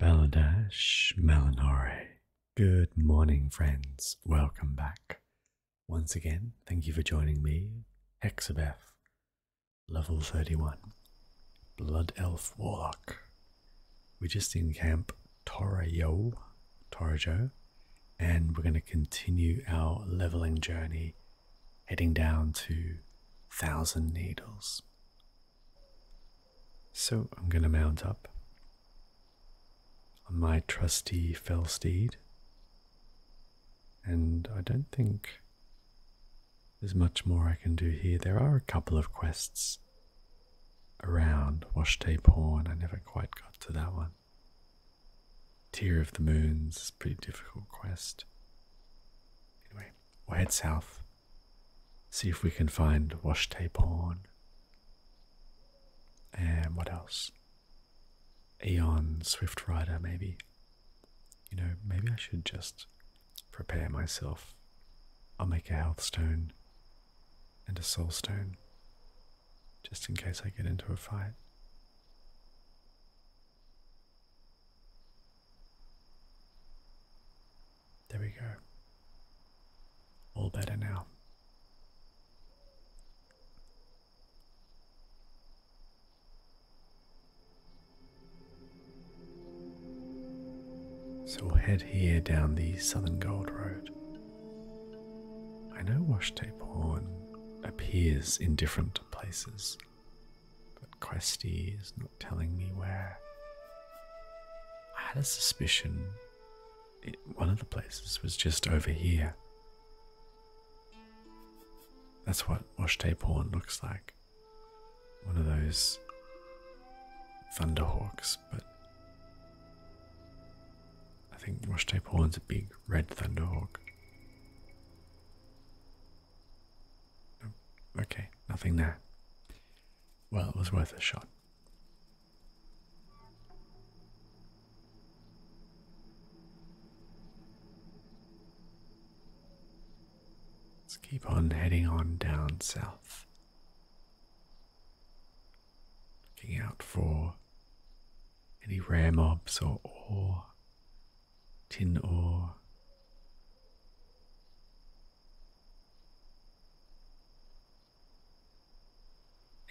Baladash Malinore. Good morning, friends. Welcome back. Once again, thank you for joining me, Hexabeth, level 31, Blood Elf Warlock. We're just in camp Torayo, Torajo, and we're going to continue our leveling journey, heading down to Thousand Needles. So I'm going to mount up on my trusty fell steed. And I don't think there's much more I can do here. There are a couple of quests around Washday Pawn. I never quite got to that one. Tear of the Moons, is pretty difficult quest. Anyway, we'll head south see if we can find wash on. And what else? Eon Swift Rider, maybe. You know, maybe I should just prepare myself. I'll make a health stone and a soul stone just in case I get into a fight. There we go. All better now. So head here down the Southern Gold Road. I know washi horn appears in different places, but Questy is not telling me where. I had a suspicion one of the places was just over here. That's what Oshte Horn looks like. One of those thunderhawks, but I think Oshte Horn's a big red thunderhawk. Oh, okay, nothing there. Well, it was worth a shot. Let's keep on heading on down south. Looking out for any rare mobs or ore, tin ore,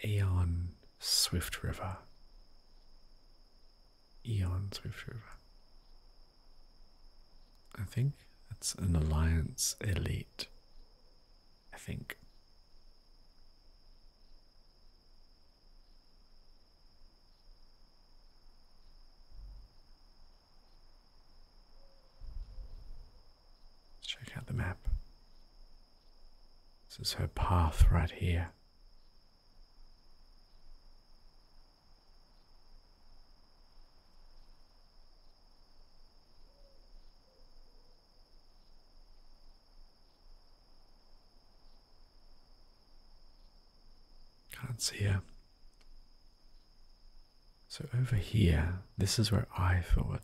Eon Swift River. Eon Swift River. I think it's an Alliance Elite. I think. Let's Check out the map. This is her path right here. Can't see her. So over here, this is where I thought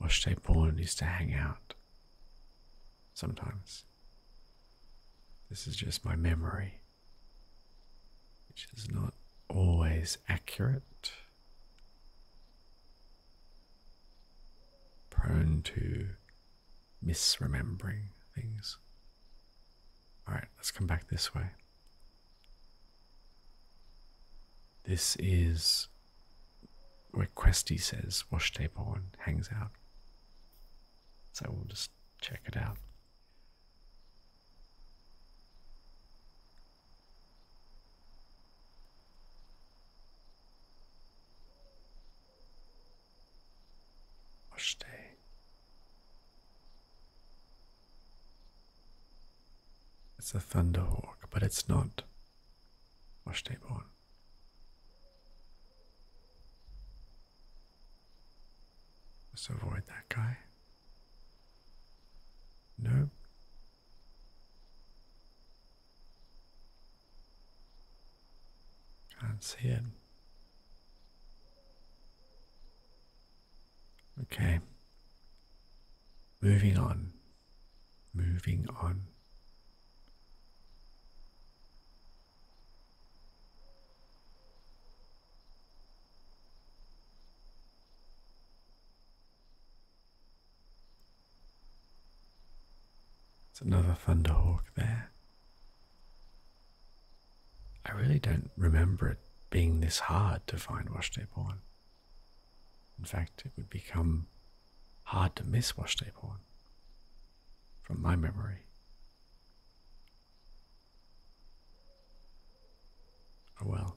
Oshte Bourne used to hang out sometimes. This is just my memory, which is not always accurate, prone to misremembering things. Alright, let's come back this way. This is where Questy says wash tape on hangs out. So we'll just check it out. Wash it's a thunderhawk, but it's not Washday-born. Let's avoid that guy. No. Can't see it. Okay. Moving on. Moving on. It's another Thunderhawk there. I really don't remember it being this hard to find Washday In fact, it would become hard to miss Washday from my memory. Oh well.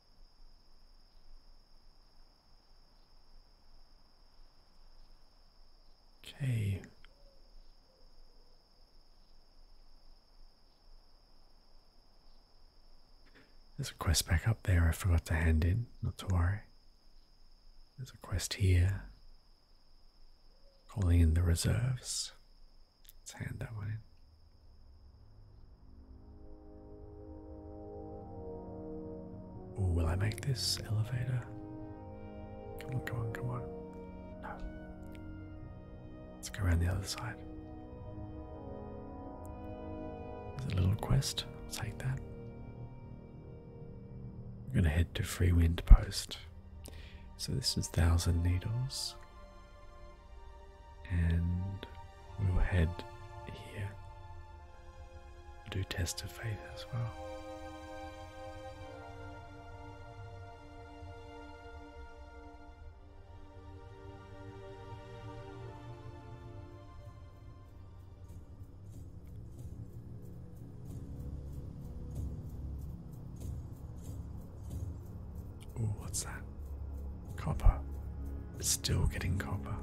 Okay. There's a quest back up there I forgot to hand in, not to worry. There's a quest here. Calling in the reserves. Let's hand that one in will I make this elevator? Come on, come on, come on. No. Let's go around the other side. There's a little quest. I'll take that. We're going to head to Free Wind Post. So this is Thousand Needles. And we'll head here. Do test of faith as well. Ooh, what's that? Copper but still getting copper.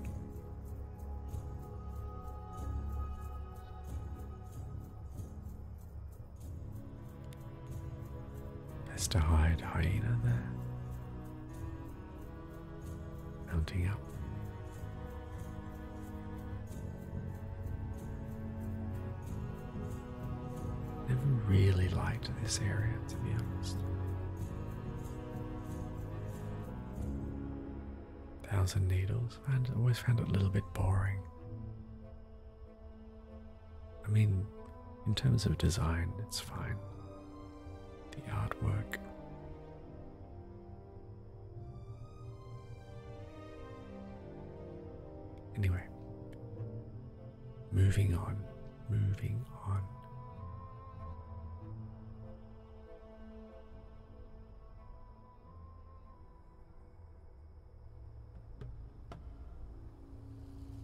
There's to hide hyena there. Mounting up. Never really liked this area, to be honest. Thousand Needles. I always found it a little bit boring. I mean, in terms of design, it's fine. The artwork. Anyway, moving on, moving on.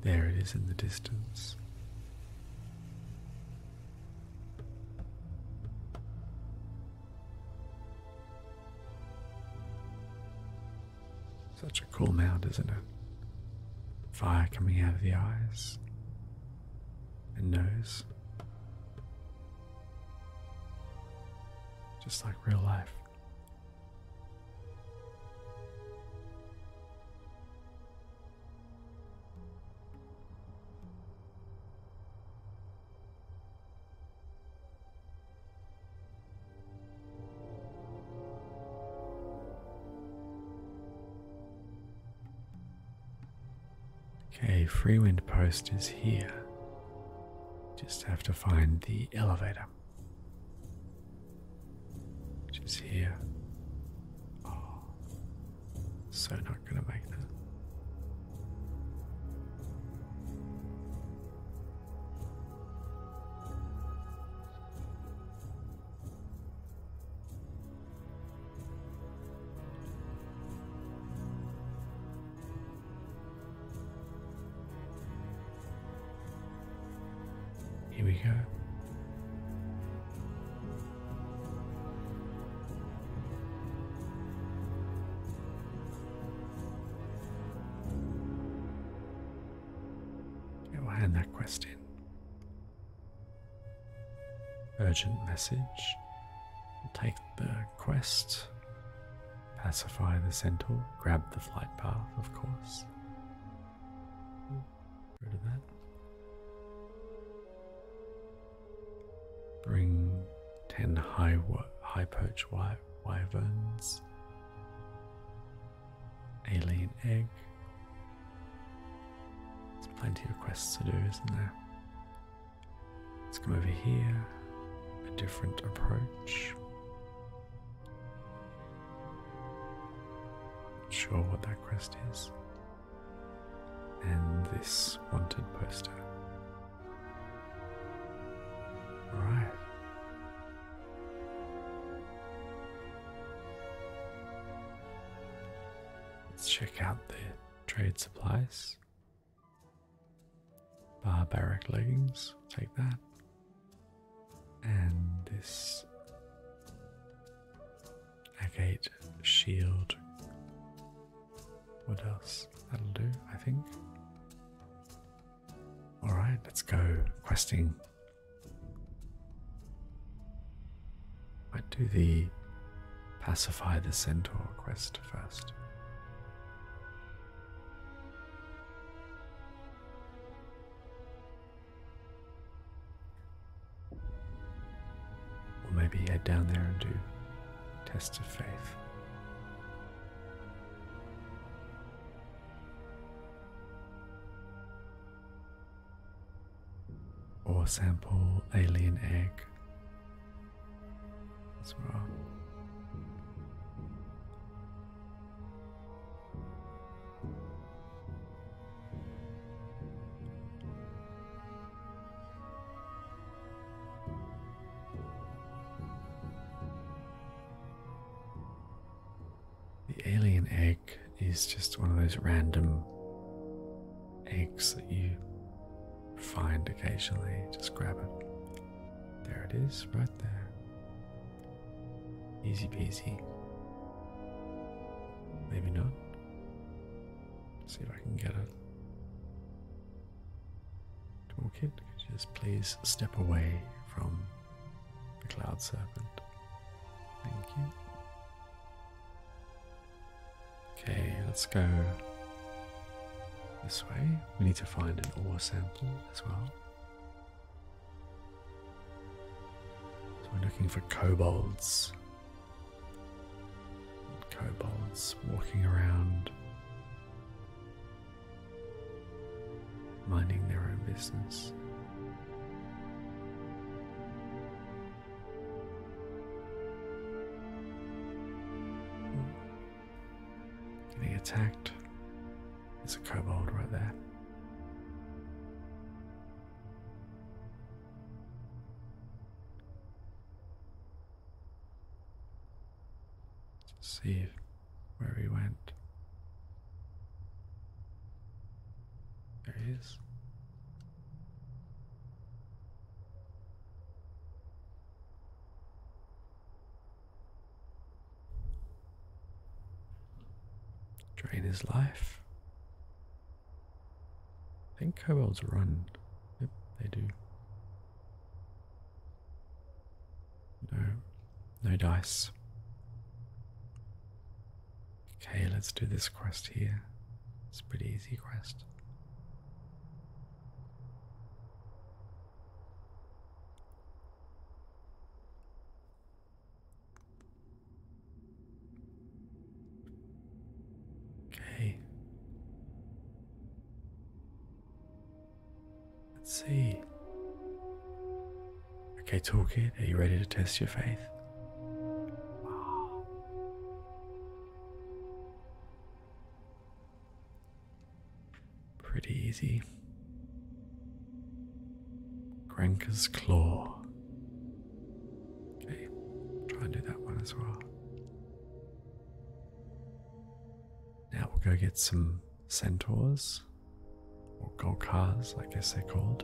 There it is in the distance. Such a cool mound, isn't it? Fire coming out of the eyes, and nose. Just like real life. Okay, freewind post is here. Just have to find the elevator. Which is here. Oh, so not gonna make that. Here we go. I will hand that quest Urgent message. Take the quest. Pacify the centaur. Grab the flight path, of course. Ooh, of that. Bring ten high high perch wyverns. Alien egg. There's plenty of quests to do, isn't there? Let's come over here. A different approach. Not sure what that quest is. And this wanted poster. Alright. Let's check out the Trade supplies. Barbaric leggings, take that. And this agate shield. What else? That'll do, I think. Alright, let's go questing. What do the pacify the centaur quest first. Or maybe head down there and do tests of faith or sample alien egg. That's wrong. The alien egg is just one of those random eggs that you find occasionally. Just grab it. There it is, right there. Easy peasy. Maybe not. see if I can get it. Toolkit, just please step away from the cloud serpent? Thank you. Okay, let's go this way. We need to find an ore sample as well. So we're looking for kobolds. Kobolds walking around, minding their own business. Hmm. He attacked. There's a kobold right there. Let's see where he went. There he is. Drain his life. I think kobolds run. Yep, they do. No, no dice. Okay, let's do this quest here. It's a pretty easy quest. Okay. Let's see. Okay, Toolkit, are you ready to test your faith? Pretty easy. Grenka's Claw. Okay, try and do that one as well. Now we'll go get some centaurs, or gold cars, I guess they're called.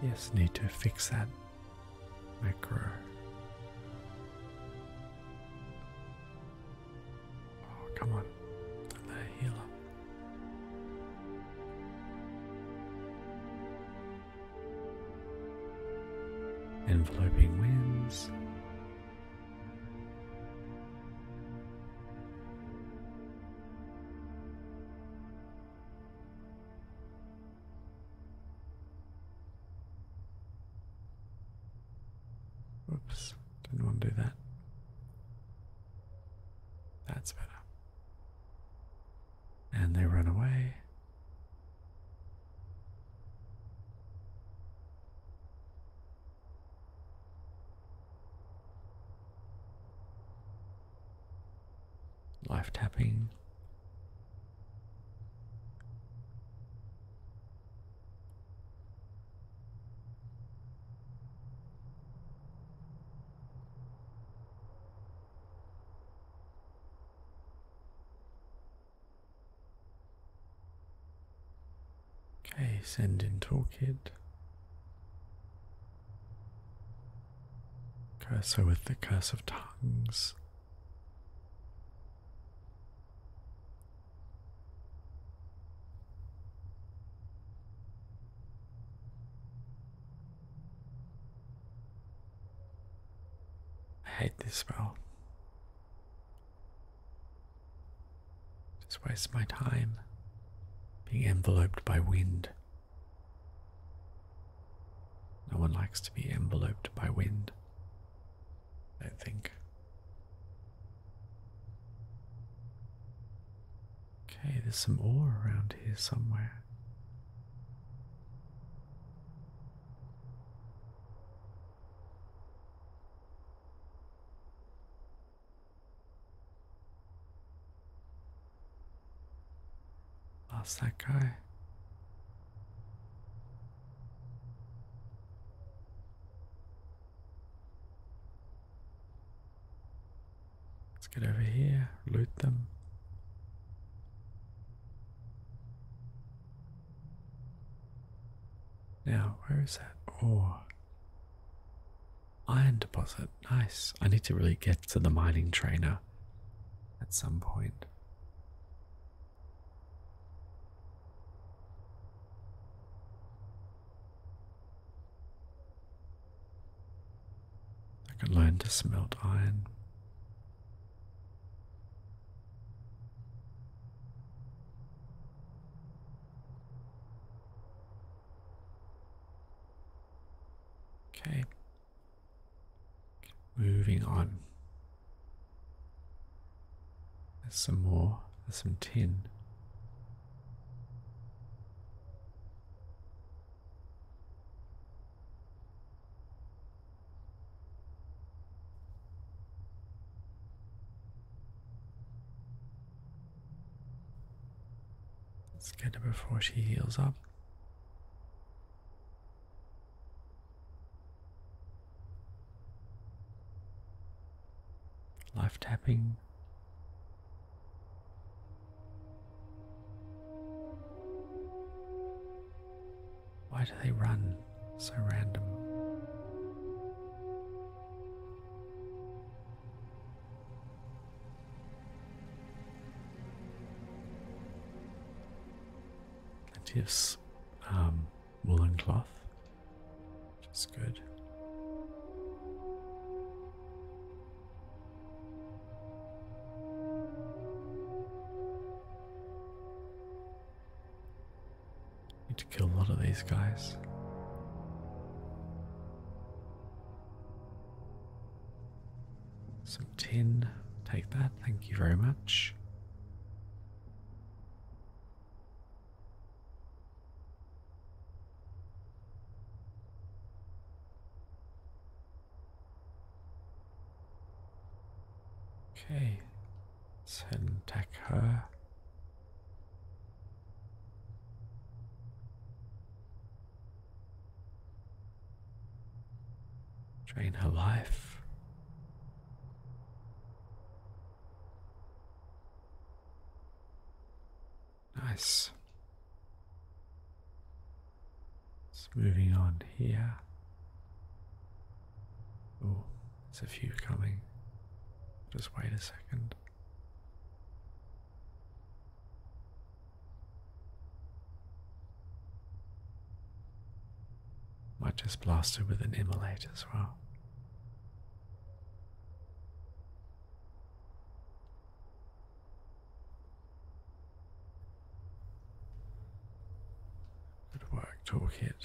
Yes, need to fix that macro. Oh, come on. let it heal up. Enveloping winds, Oops, didn't want to do that. That's better. And they run away. Live tapping. Okay, send in toolkit. Cursor with the curse of tongues. I hate this spell. Just waste my time being enveloped by wind. No one likes to be enveloped by wind, I don't think. Okay, there's some ore around here somewhere. Lost that guy. Let's get over here, loot them. Now, where is that ore? Iron deposit. Nice. I need to really get to the mining trainer at some point. I can learn to smelt iron. Okay. Moving on. There's some more. There's some tin. Let's get it before she heals up. Life tapping. Why do they run so random? Plenty of um, woolen cloth, which good. Need to kill a lot of these guys. Some tin. Take that. Thank you very much. Okay, Let's attack her. Drain her life. Nice. It's moving on here. Oh, there's a few coming. Just wait a second. Might just blast it with an immolate as well. Good work, toolkit.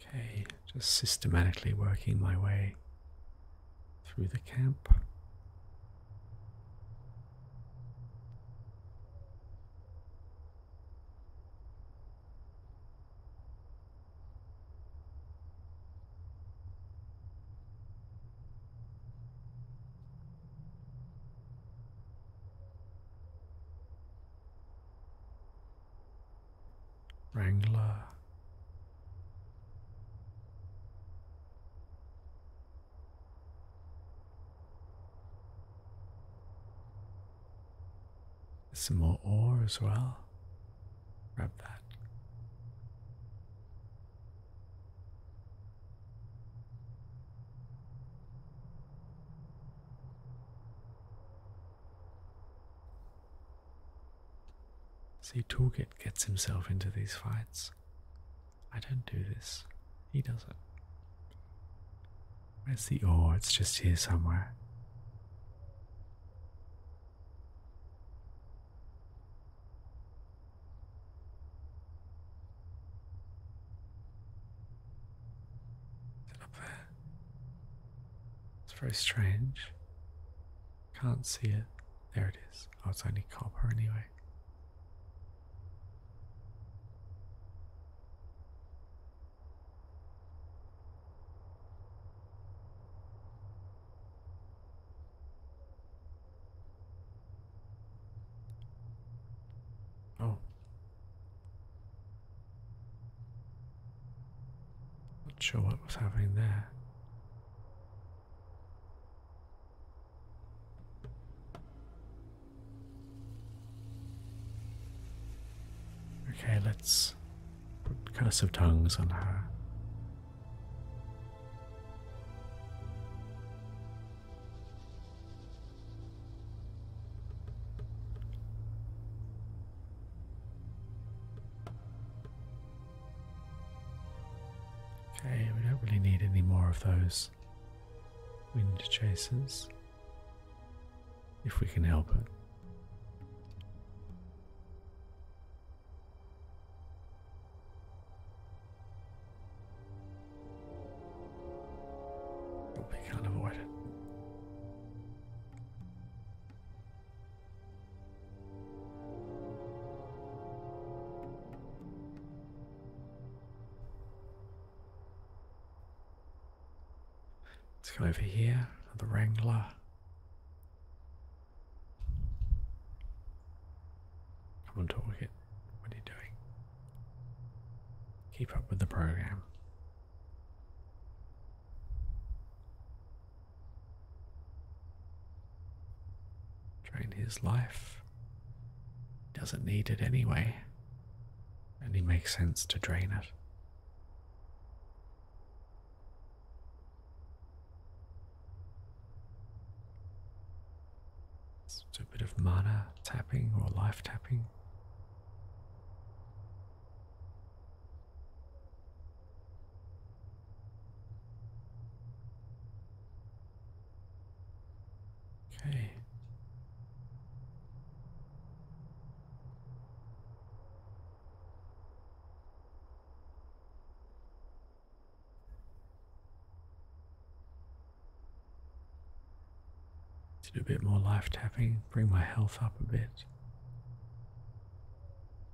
Okay, just systematically working my way through the camp. Wrangler. Some more ore as well. Grab that. See, Toolkit gets himself into these fights. I don't do this. He does it. Where's the ore? Oh, it's just here somewhere. up there? It's very strange. Can't see it. There it is. Oh, it's only copper anyway. Oh. Not sure what was happening there. Okay, let's put Curse of Tongues on her. Okay, we don't really need any more of those wind chasers if we can help it. But we can't avoid it. Let's go over here, the Wrangler. Come on, target. What are you doing? Keep up with the program. Drain his life. Doesn't need it anyway. And it makes sense to drain it. So a bit of mana tapping or life tapping. Okay. do a bit more life tapping, bring my health up a bit.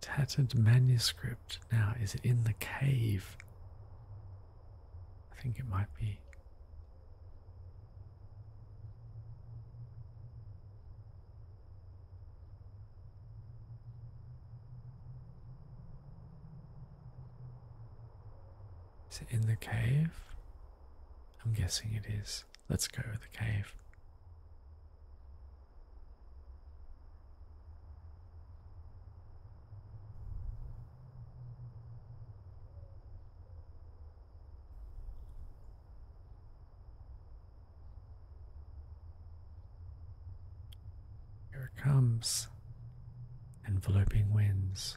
tattered manuscript. Now, is it in the cave? I think it might be. Is it in the cave? I'm guessing it is. Let's go with the cave. Here comes, enveloping winds.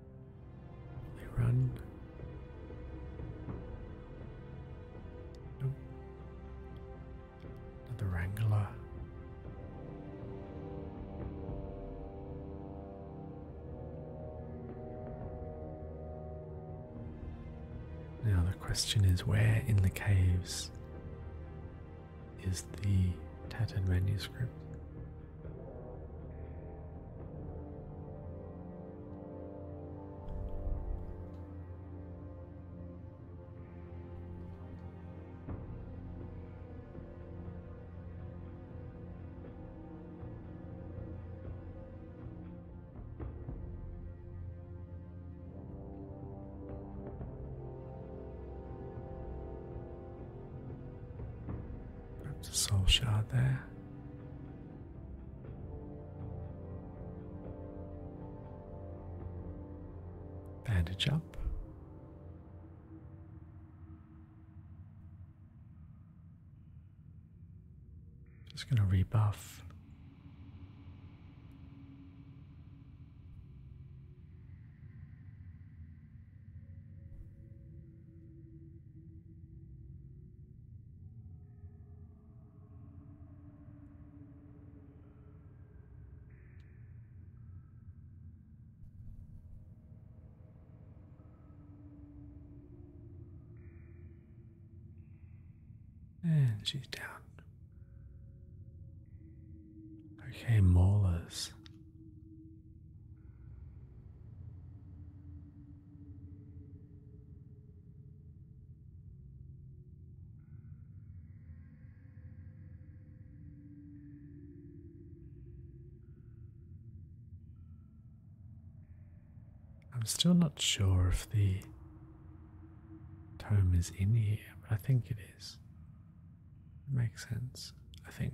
They run. Nope. Another wrangler. Now the question is where in the caves is the tattered manuscript? Soul shard there. Bandage up. Just going to rebuff. And she's down. Okay, molars. I'm still not sure if the tome is in here, but I think it is. It makes sense, I think.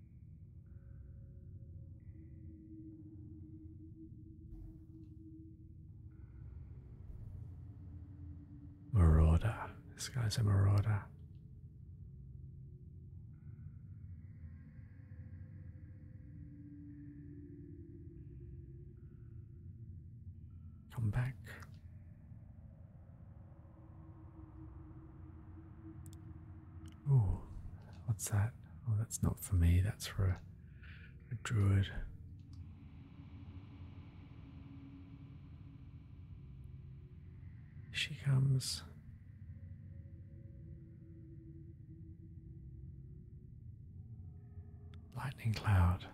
Marauder. This guy's a marauder. Come back. Oh, what's that? Oh, that's not for me. That's for a druid. She comes. Lightning cloud.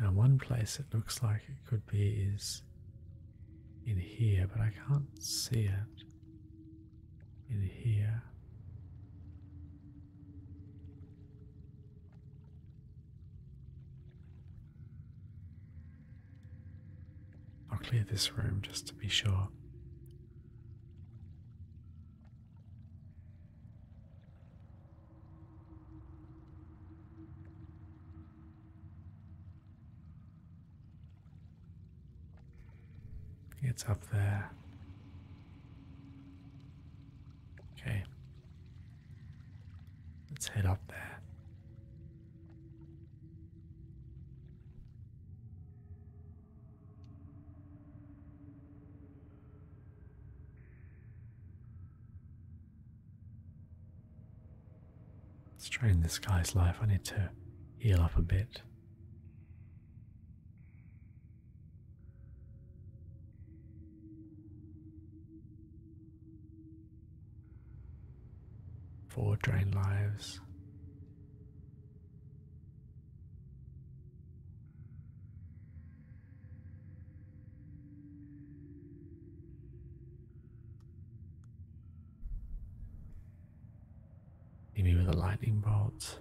Now, one place it looks like it could be is in here, but I can't see it in here. I'll clear this room just to be sure. It's up there. Okay. Let's head up there. Strain this guy's life. I need to heal up a bit. Four drain lives. Hit me with a lightning bolt.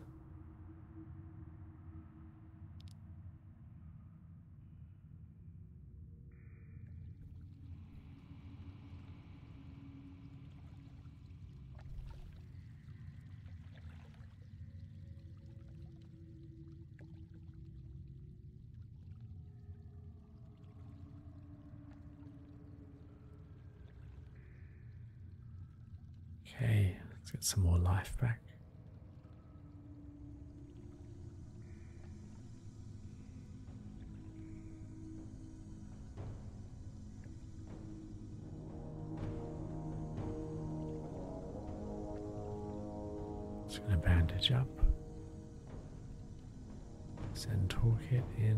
Okay, let's get some more life back. Just going to bandage up. Send toolkit in.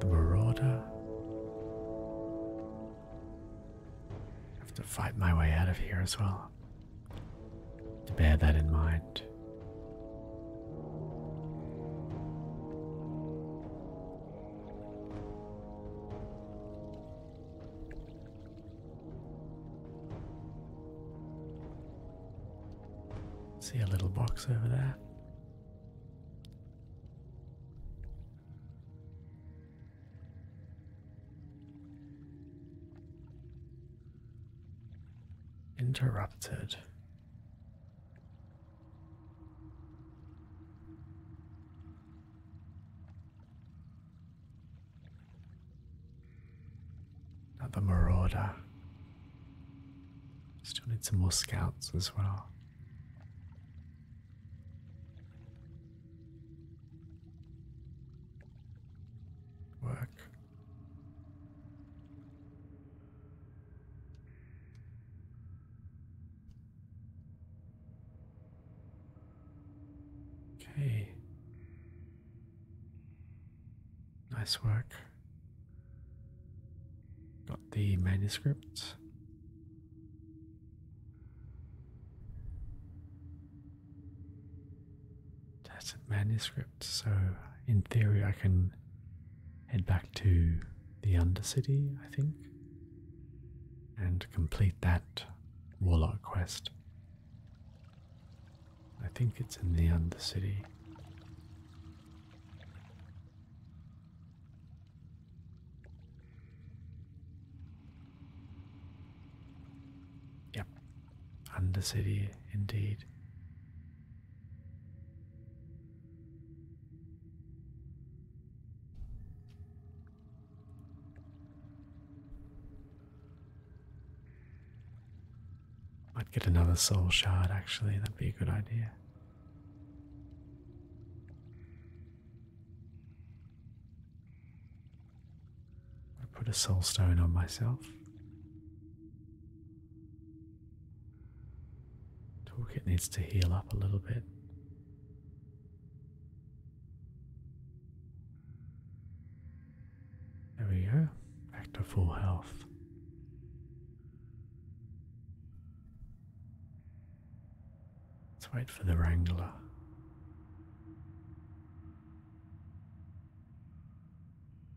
The Marauder. I have to fight my way out of here as well. To bear that in mind. See a little box over there. Interrupted. Another marauder. Still need some more scouts as well. Work Okay. Nice work. Got the manuscript. Tacit manuscript, so in theory I can head back to the Undercity, I think, and complete that warlock quest. I think it's in the Undercity. Yep, Undercity, indeed. I'd get another soul shard actually, that'd be a good idea. I put a soul stone on myself. Talk. It needs to heal up a little bit. There we go, back to full health. Let's wait for the Wrangler.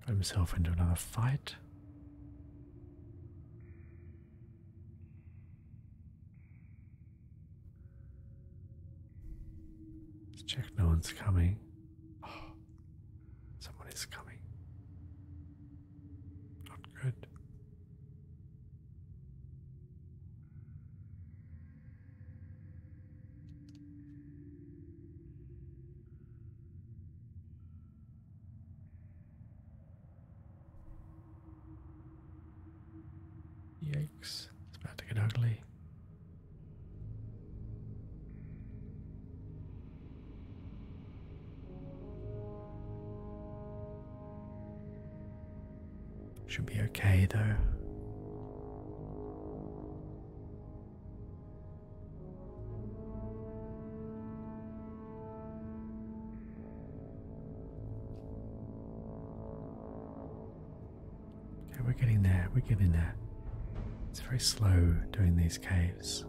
Got himself into another fight. check no one's coming. someone is coming. Not good. Yikes, it's about to get ugly. Should be okay though. Okay, we're getting there, we're getting there. It's very slow doing these caves.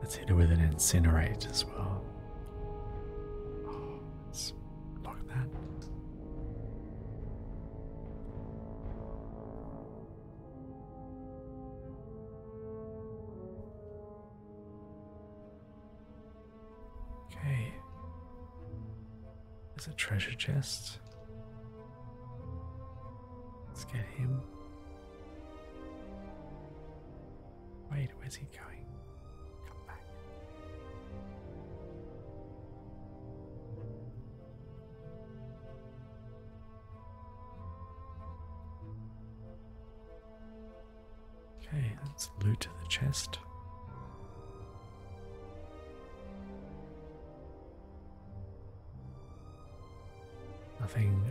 Let's hit it with an incinerate as well. Oh, Look at that. Okay. is it treasure chest. Let's get him. Wait, where's he going? Come back. Okay, let's loot the chest. Nothing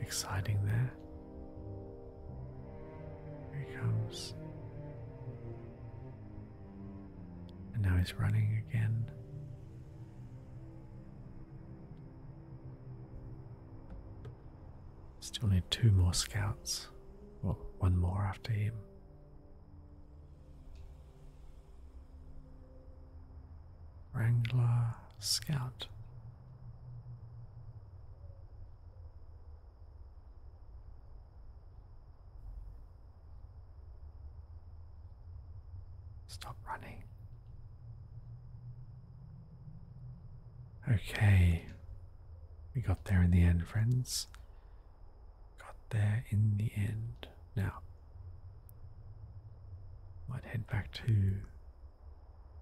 exciting there. Here he comes. And now he's running again. Still need two more scouts. Well, one more after him. Wrangler Scout. Stop running. Okay. We got there in the end, friends. Got there in the end. Now, might head back to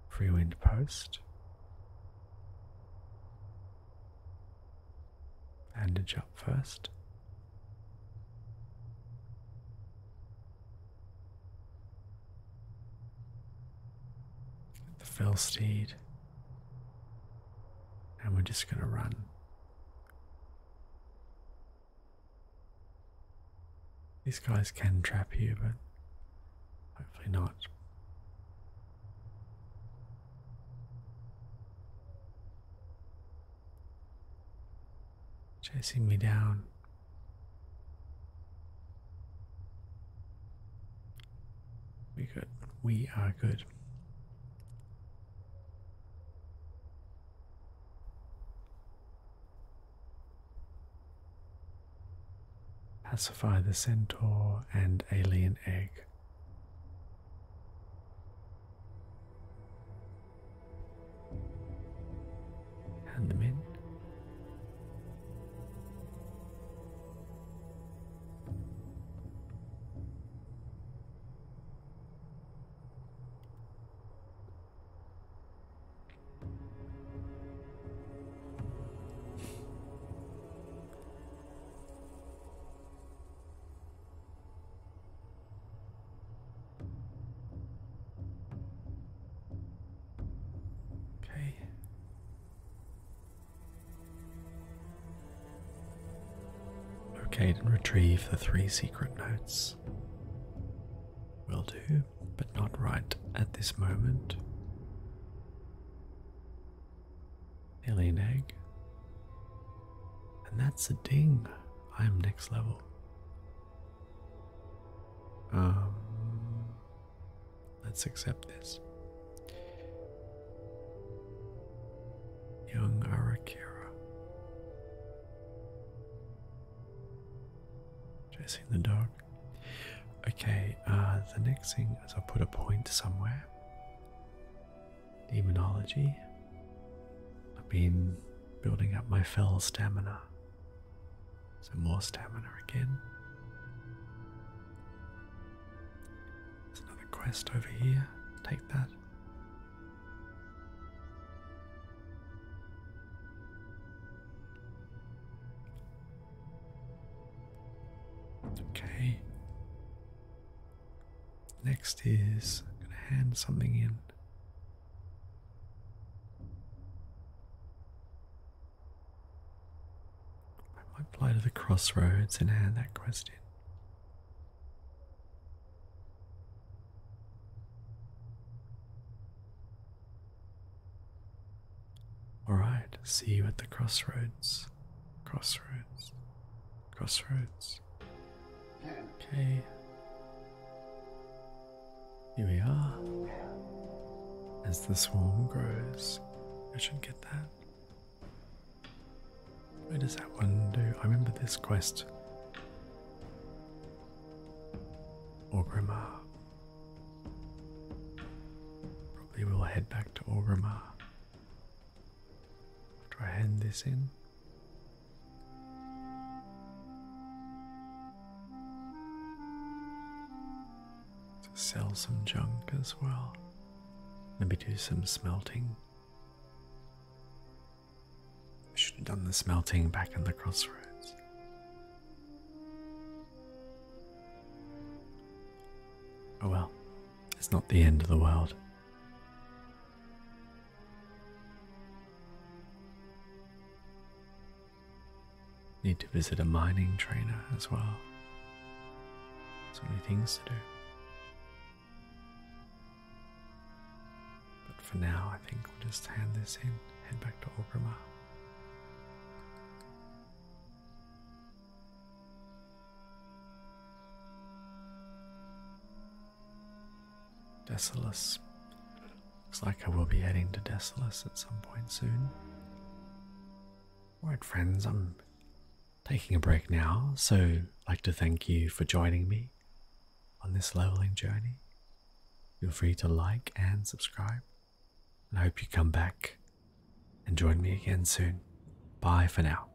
Free Wind Post bandage up first. The fell steed, and we're just going to run. These guys can trap you, but hopefully not chasing me down. We good. We are good. Pacify the centaur and alien egg. Hand them in. Okay. Locate and retrieve the three secret notes. Will do, but not right at this moment alien egg. And that's a ding. I'm next level. Um, let's accept this. Young Arakira. Chasing the dog. Okay, uh, the next thing is I'll put a point somewhere demonology. I've been building up my fell stamina. So more stamina again. There's another quest over here. Take that. Okay. Next is I'm going to hand something in. I might fly to the crossroads and hand that question. All right, see you at the crossroads. Crossroads. Crossroads. Okay. Here we are. As the swarm grows, I should get that. Where does that one do? I remember this quest. Orgrimmar. Probably we'll head back to Orgrimmar after I hand this in. sell some junk as well. Maybe do some smelting. I should have done the smelting back in the crossroads. Oh well, it's not the end of the world. Need to visit a mining trainer as well. So many things to do. But for now, I think we'll just hand this in, head back to Orgrimmar. Desolus. Looks like I will be heading to Desolus at some point soon. Alright, friends, I'm taking a break now, so like to thank you for joining me on this leveling journey. Feel free to like and subscribe. And I hope you come back and join me again soon. Bye for now.